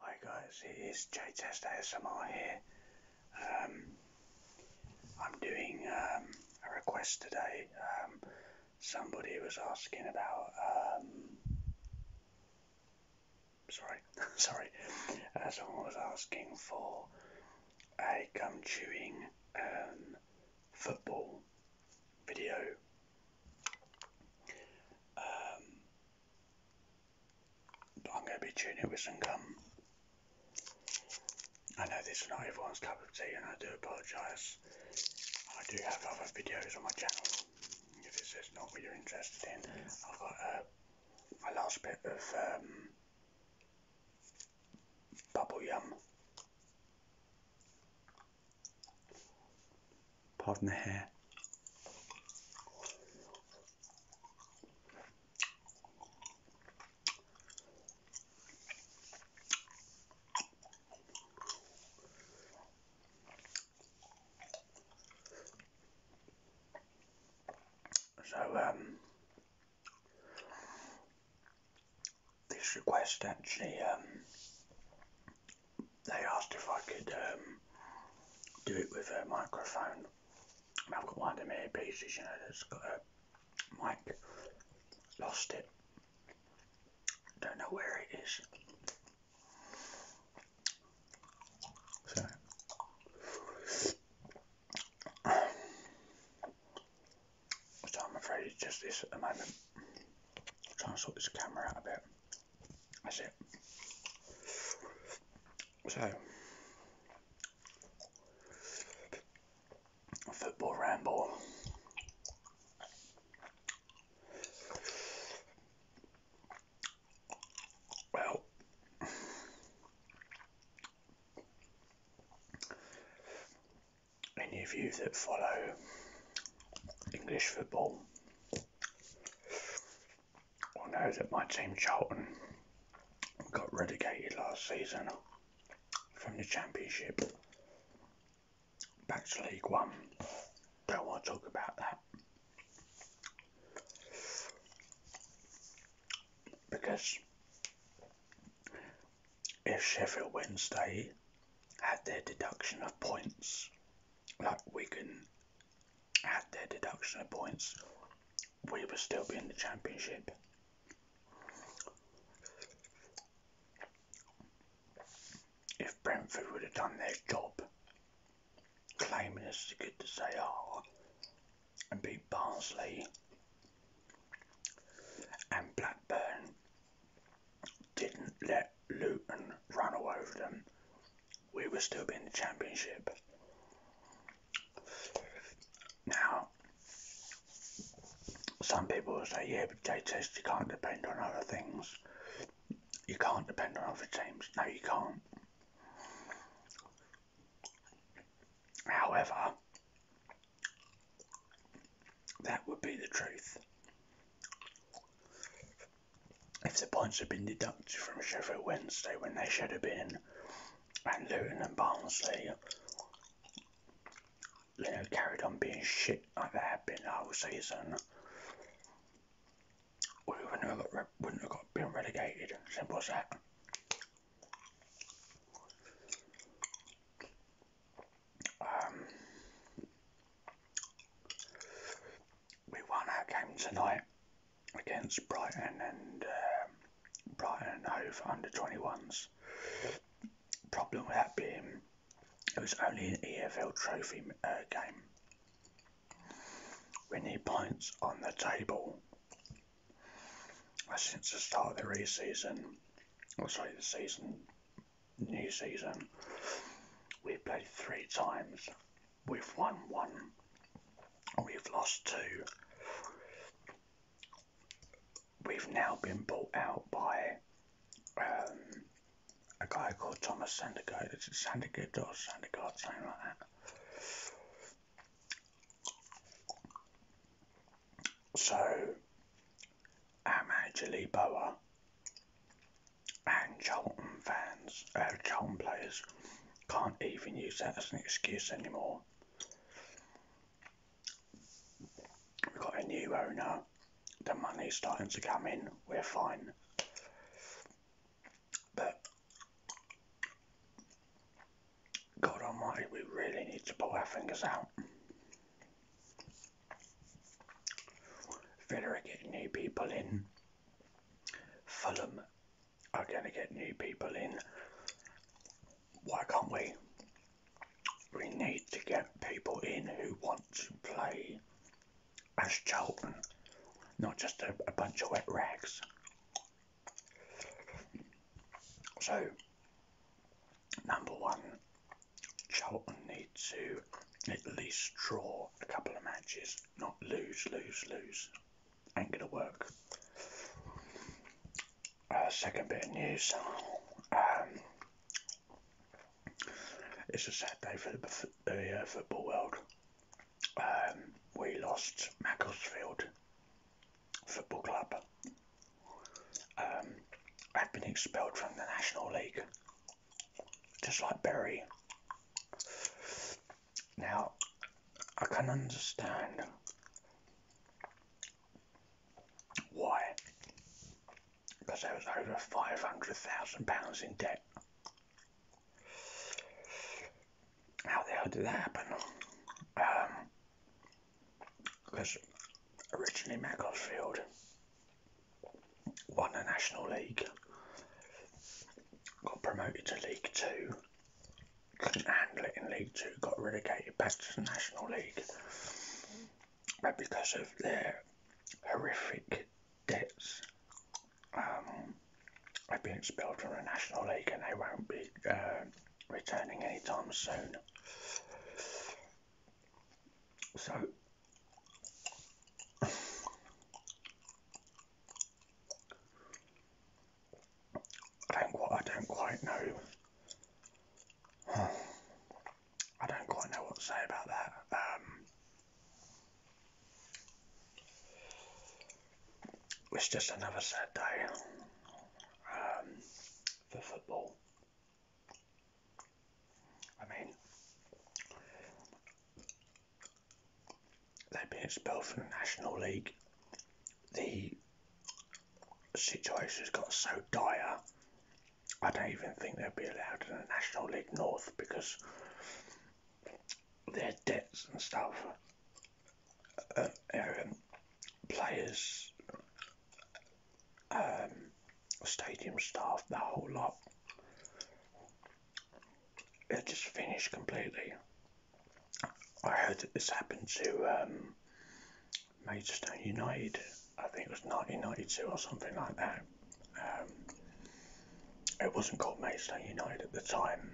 Hi guys, it is JTest ASMR here. Um, I'm doing um, a request today. Um, somebody was asking about. sorry, sorry. Uh, someone was asking for a gum chewing football video um, I'm going to be tuning with some gum. I know this is not everyone's cup of tea, and I do apologise. I do have other videos on my channel. If this is not what you're interested in, I've got a uh, last bit of um, bubble yum. Pardon the hair. So, um, this request actually um, they asked if I could um, do it with a microphone. I've got one of my pieces, you know, that's got a mic. Lost it. Don't know where it is. So. I'm afraid it's just this at the moment. I'll try and sort this camera out a bit. That's it. So, football ramble. Well, any of you that follow English football well, know that my team Charlton got relegated last season from the Championship back to League One. Don't want to talk about that because if Sheffield Wednesday had their deduction of points like Wigan had their deduction of points, we would still be in the championship. If Brentford would have done their job, claiming as good as they are, and beat Barnsley and Blackburn didn't let Luton run away over them, we would still be in the championship. Now, some people will say, yeah, but day test, you can't depend on other things. You can't depend on other teams. No, you can't. However, that would be the truth. If the points had been deducted from Sheffield Wednesday when they should have been, and Luton and Barnsley, you know, carried on being shit like they have been the whole season, we wouldn't have, got, wouldn't have got, been relegated. Simple as that. Um, we won our game tonight against Brighton and um, Brighton and Hove under 21s. Problem with that being it was only an EFL Trophy uh, game. We need points on the table. Since the start of the re-season, or sorry, the season new season. We played three times. We've won one. We've lost two. We've now been bought out by um, a guy called Thomas Sandegård. Is it Sandergaard or Sandergaard, something like that? So I'm actually Boa and Charlton fans, uh, Charlton players can't even use that as an excuse anymore. We've got a new owner, the money's starting to come in, we're fine. But God almighty, we really need to pull our fingers out. Villa are new people in. Fulham are going to get new people in. Why can't we? We need to get people in who want to play as Charlton, not just a bunch of wet rags. So, number one, Charlton need to at least draw a couple of matches, not lose, lose, lose. Ain't gonna work. Uh, second bit of news. Um, it's a sad day for the, the uh, football world. Um, we lost Macclesfield Football Club. Um, I've been expelled from the National League just like Barry. Now, I can understand why, because I was over five hundred thousand pounds in debt. How the hell did that happen? because um, originally Macclesfield won the National League, got promoted to League 2 and couldn't in League Two, got relegated back to the National League. But because of their horrific debts, um, they've been expelled from the National League and they won't be uh, returning anytime soon. So I don't what I don't quite know. I don't quite know what to say about that. Um, it's just another sad day um, for football. I mean, they've been expelled from the National League. The situation's got so dire, I don't even think they'll be allowed in the National League North because their debts and stuff. Uh, um, players um, stadium staff, the whole lot. It just finished completely. I heard that this happened to um, Maidstone United. I think it was 1992 or something like that. Um, it wasn't called Maidstone United at the time.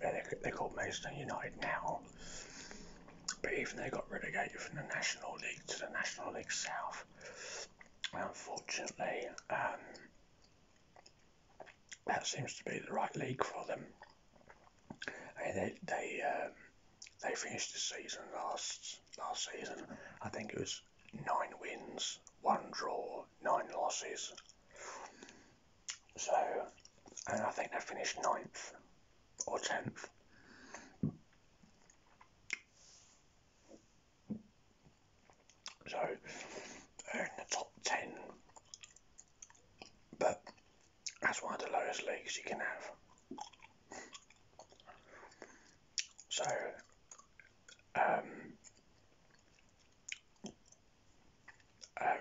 They're, they called Maidstone United now. But even they got relegated from the National League to the National League South. Unfortunately, um, that seems to be the right league for them. they they um, they finished the season last last season. I think it was nine wins, one draw, nine losses. So, and I think they finished ninth or tenth. So in the top 10, but that's one of the lowest leagues you can have. So, um, um,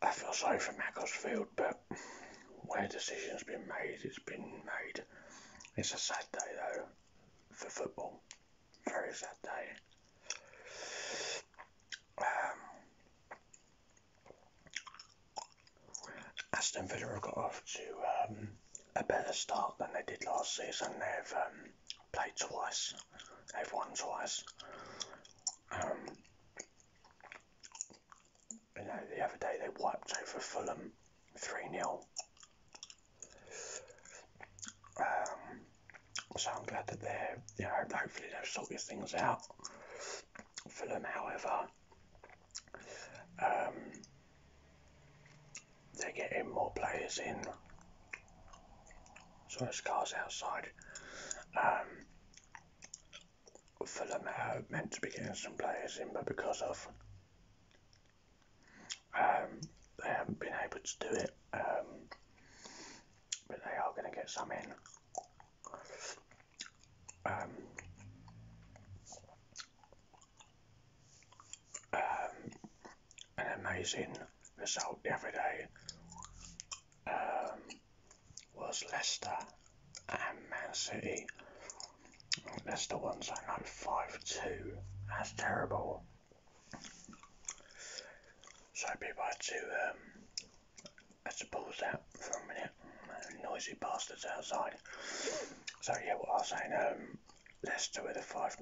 I feel sorry for Macclesfield, but where a decision's been made, it's been made. It's a sad day, though, for football. Very sad day. Um, Aston Villa have got off to um, a better start than they did last season. They've um, played twice, they've won twice. Um, you know, the other day they wiped over Fulham 3 0. Um, so I'm glad that they're, you know, hopefully they will sort sorted things out. Fulham, however, um, they're getting more players in. so it's cars outside. Um, Fulham at home meant to be getting some players in, but because of um, they haven't been able to do it, um, but they are going to get some in. Um, um, an amazing result every day. Um, was Leicester and Man City. Leicester ones I know 5-2. That's terrible. So people had to um, had to pause that for a minute. Noisy bastards outside. So yeah, what I was saying, um, Leicester with a 5-0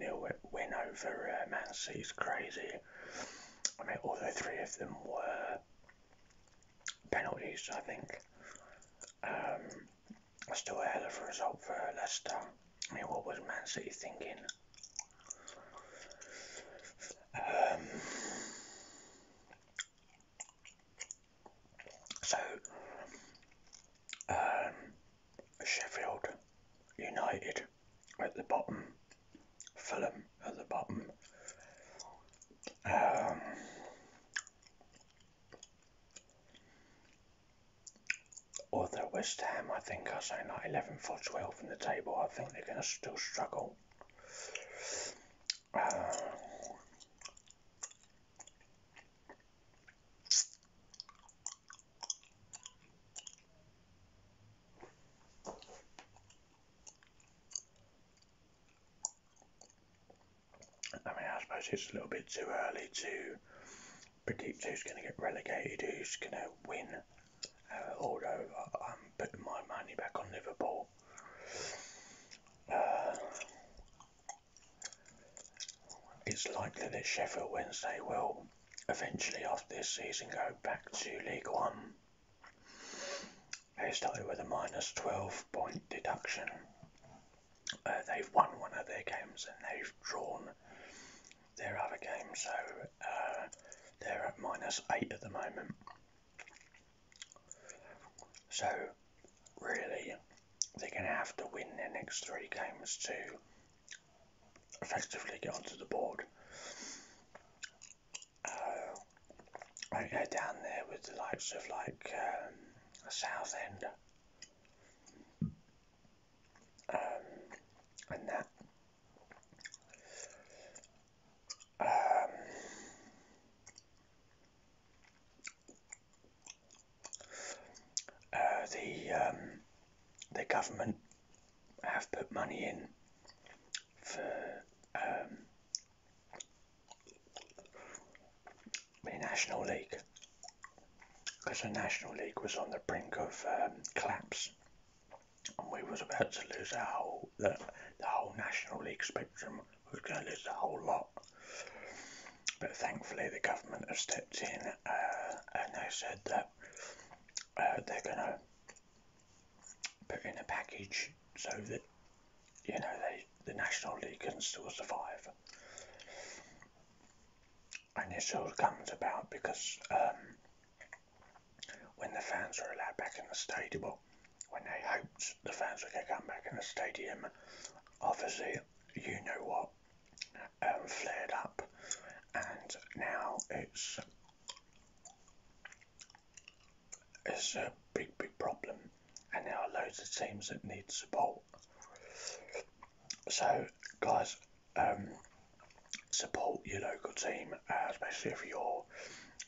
win over uh, Man City's crazy. I mean, although three of them were penalties, I think. Um, still a hell of a result for Leicester. I mean, what was Man City thinking? Um, so, um, Sheffield United at the bottom, Fulham at the bottom, um, although West Ham, I think, are saying like eleven for twelve in the table, I think they're going to still struggle. I mean, I suppose it's a little bit too early to predict who's going to get relegated, who's going to win. Uh, although I'm putting my money back on Liverpool. Uh, it's likely that Sheffield Wednesday will eventually, after this season, go back to League One. They started with a minus 12 point deduction. Uh, they've won one of their games and they've drawn their other game, so uh, they're at minus 8 at the moment. So, really, they're going to have to win their next three games to effectively get onto the board. I go down there with the likes of like um, Southend um, and that. Um, uh, the um, the government have put money in for the National League because the National League was on the brink of um, collapse and we was about to lose our whole, the, whole National League spectrum was going to lose the whole lot but thankfully the government have stepped in uh, and they said that uh, they're going to put in a package so that you know they the National League can still survive. And this all comes about because um, when the fans were allowed back in the stadium, when they hoped the fans were going to come back in the stadium, obviously, you know what, um, flared up. And now it's it's a big, big problem, and there are loads of teams that need support. So, guys, um, support your local team, uh, especially if your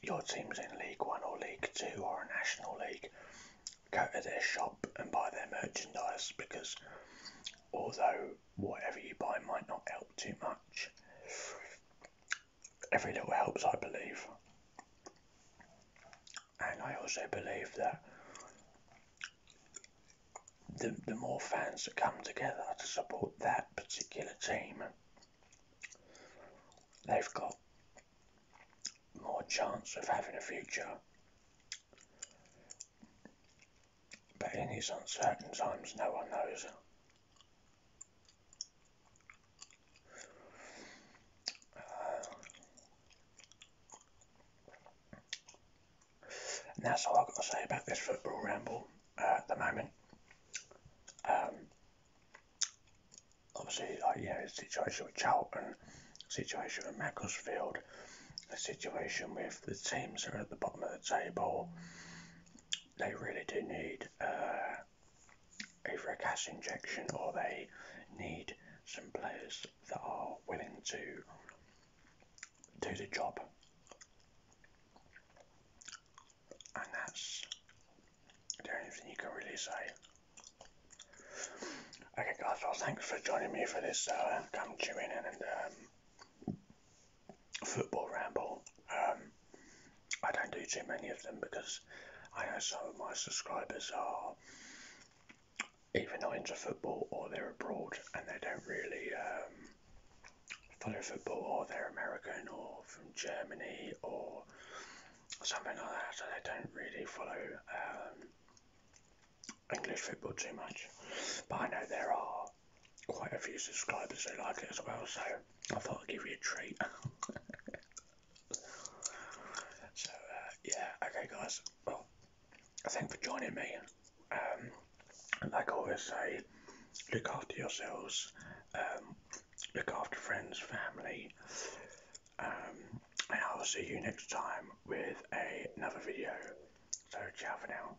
your team's in League One or League Two or a National League. Go to their shop and buy their merchandise because although whatever you buy might not help too much, every little helps, I believe. And I also believe that the, the more fans that come together to support that particular team, they've got more chance of having a future. But in these uncertain times, no one knows that's all I've got to say about this football ramble uh, at the moment. Um, obviously, like, you know, the situation with Charlton, the situation with Macclesfield, the situation with the teams that are at the bottom of the table, they really do need uh, either a cash injection or they need some players that are willing to do the job. And that's the only thing you can really say. Okay, guys, well, thanks for joining me for this uh, come chewing and um, football ramble. Um, I don't do too many of them because I know some of my subscribers are either not into football or they're abroad and they don't really um, follow football or they're American or from Germany or something like that, so they don't really follow um, English football too much. But I know there are quite a few subscribers who like it as well, so I thought I'd give you a treat. so, uh, yeah, okay, guys. Well, thanks for joining me. Um, like I always say, look after yourselves, um, look after friends, family, um, and I will see you next time with another video. So, ciao for now.